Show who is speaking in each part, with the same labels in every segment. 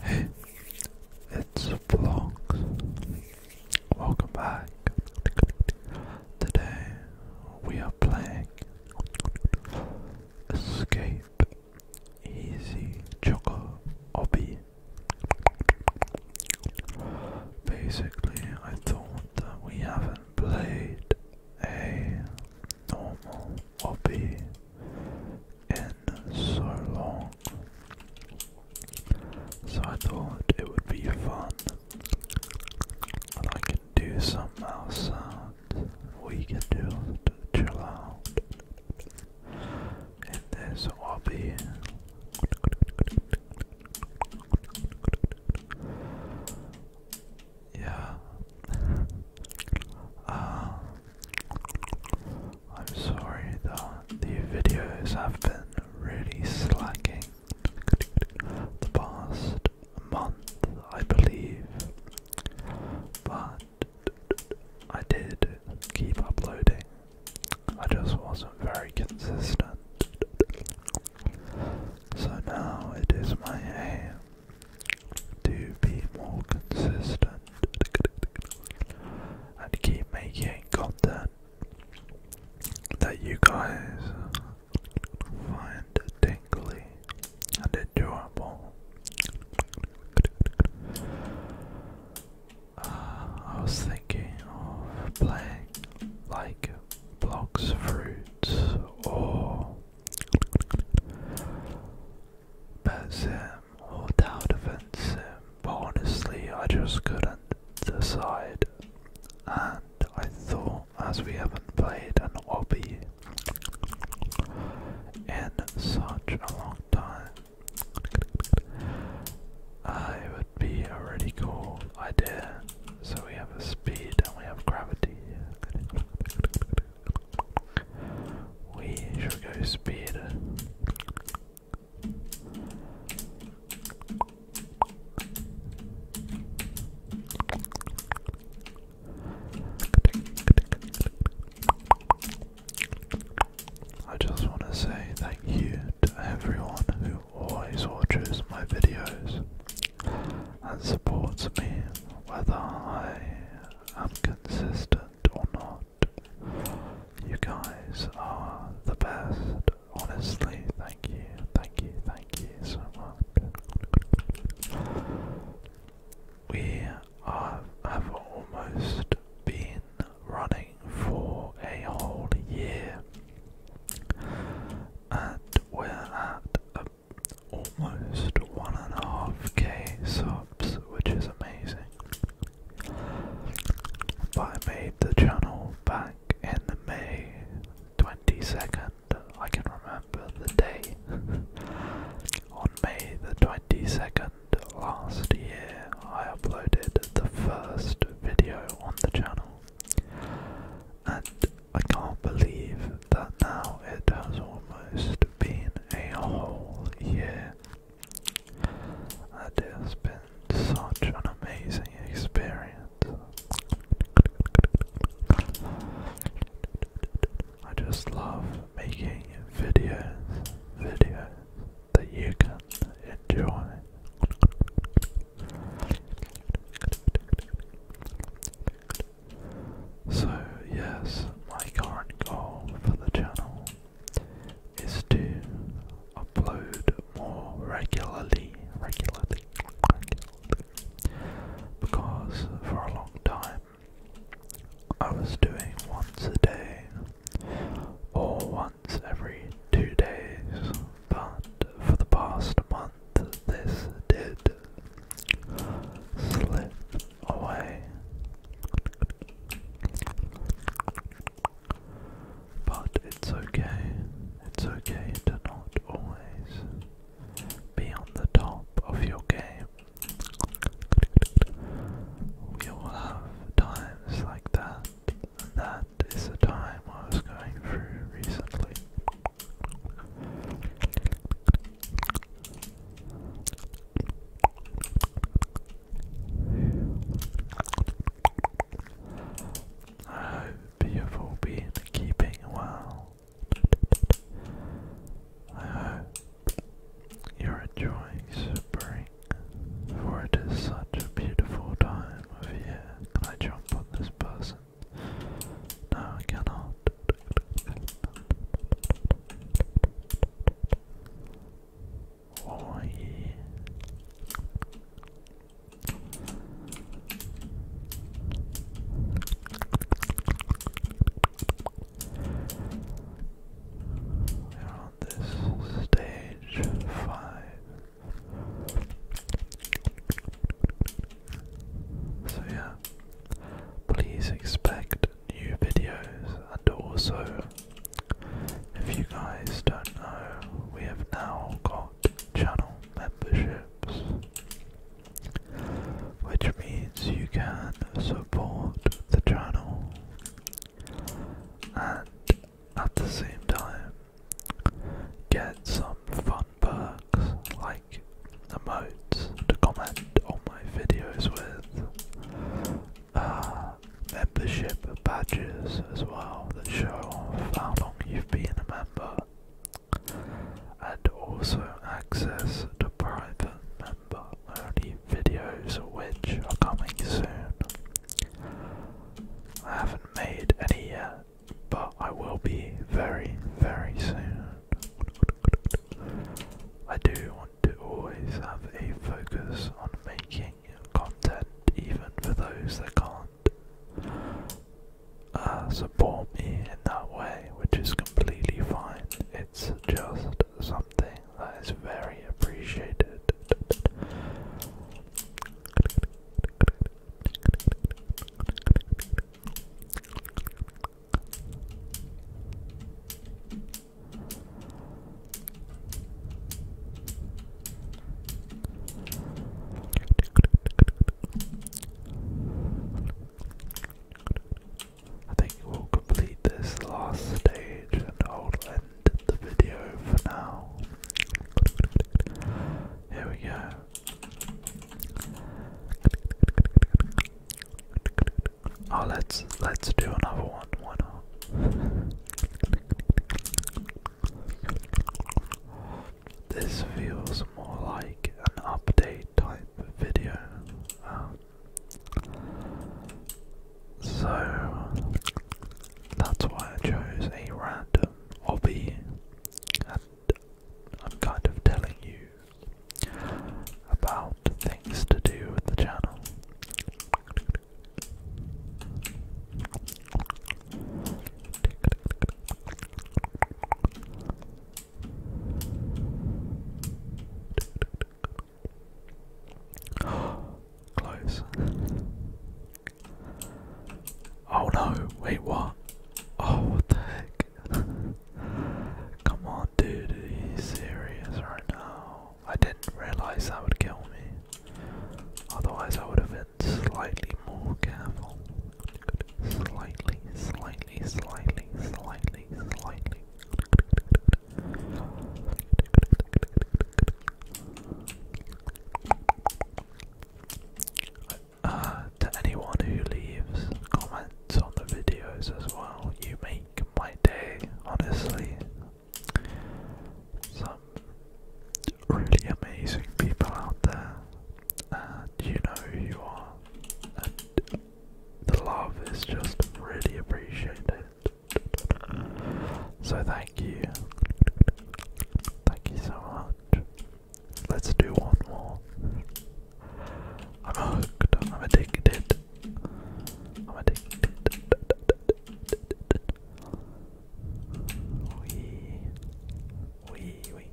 Speaker 1: Hey, it's Vlogs. Welcome back. Today we are playing Escape Easy Choco Obby. Basically, I thought we haven't played a normal hobby in so long, so I thought it would be fun I can do some mouse sounds, we can do chill out in this hobby yeah. uh, I'm sorry that the videos have been really slacking the past month, I believe, but I did keep uploading. I just wasn't very consistent. So now it is my aim to be more consistent and keep making content that you guys find tingly and enjoyable. Ah, I was thinking of playing like blocks through och But um, without offense, but honestly, I just couldn't decide. And I thought, as we haven't played an obby in such a long time, uh, it would be a really cool idea so we have a speed and we have gravity. We should go speed. I just want to say thank you to everyone who always watches my videos. And supports me whether I am consistent or not. You guys are the best. Honestly, thank you, thank you, thank you so much. We have almost been running for a whole year, and we're at a almost one and a half K subs, which is amazing. I made the channel back in May 22nd, I can remember the day. On May the 22nd last year, I uploaded the first video on the channel. And I can't believe that now it has almost been a whole year. It has been such an amazing experience. I just love making videos, videos that you can enjoy. So, yes, my current goal for the channel is to upload more regularly, regularly, because for a long time I was doing once a day or once every two days but for the past month this did slip away. But it's okay, it's okay to not always be on the top of your game. We all have times like that, and that is the time I was going through recently. I hope you've all been keeping well. I hope you're enjoying spring, for it is such a beautiful time of year. I jump on this bus? this. No, I cannot. Why? We're on this stage five. So yeah, please expect new videos and also if you guys don't know, we have now got channel memberships which means you can support the channel and at the same time get some fun perks like the emotes to comment on my videos with, uh, membership badges as well that show how long you've been a member, and also access to private member only videos which are coming soon. I haven't made any yet, but I will be very, very soon. I do want to always have a focus on making content, even for those that can't uh, support me in that way, which is completely fine. It's just something that is very appreciated. I think we'll complete this last stage and I'll end the video for now. Here we go. Oh, let's let's do another one. Why This feels more like an update type video. Um, so that's why I chose a random hobby I'm kind of telling you about things to do with the channel. Close. Oh no, wait, what? Oh, what the heck? Come on, dude, are serious right now? I didn't realize that would kill me. Otherwise, I would have been slightly more careful. Slightly, slightly, slightly, slightly, slightly. Uh, to anyone who leaves comments on the videos as well, you make my day, honestly. Some really amazing people out there, and you know who you are, and the love is just really appreciated. So, thank you. Thank you so much. Let's do one more. I'm hooked. I'm addicted. I'm addicted. Wee. Wee, wee.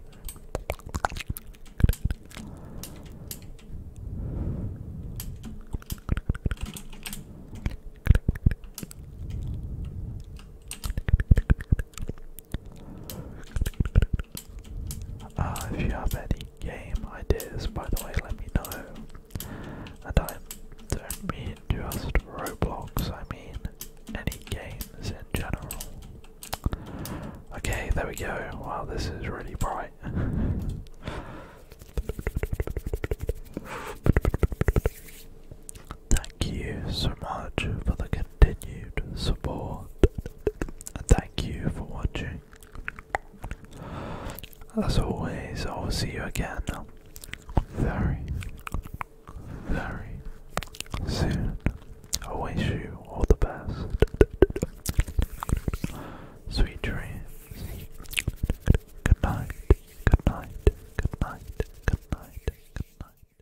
Speaker 1: Uh, if you have any game ideas, by the way, let me know. And I don't mean just Roblox, I mean any games in general. Okay, there we go. Wow, this is really bright. Thank you so much for the continued support. And thank you for watching. As always, I will see you again very, very soon. I wish you all the best. Sweet dreams. Good night, good night, good night, good night, good night.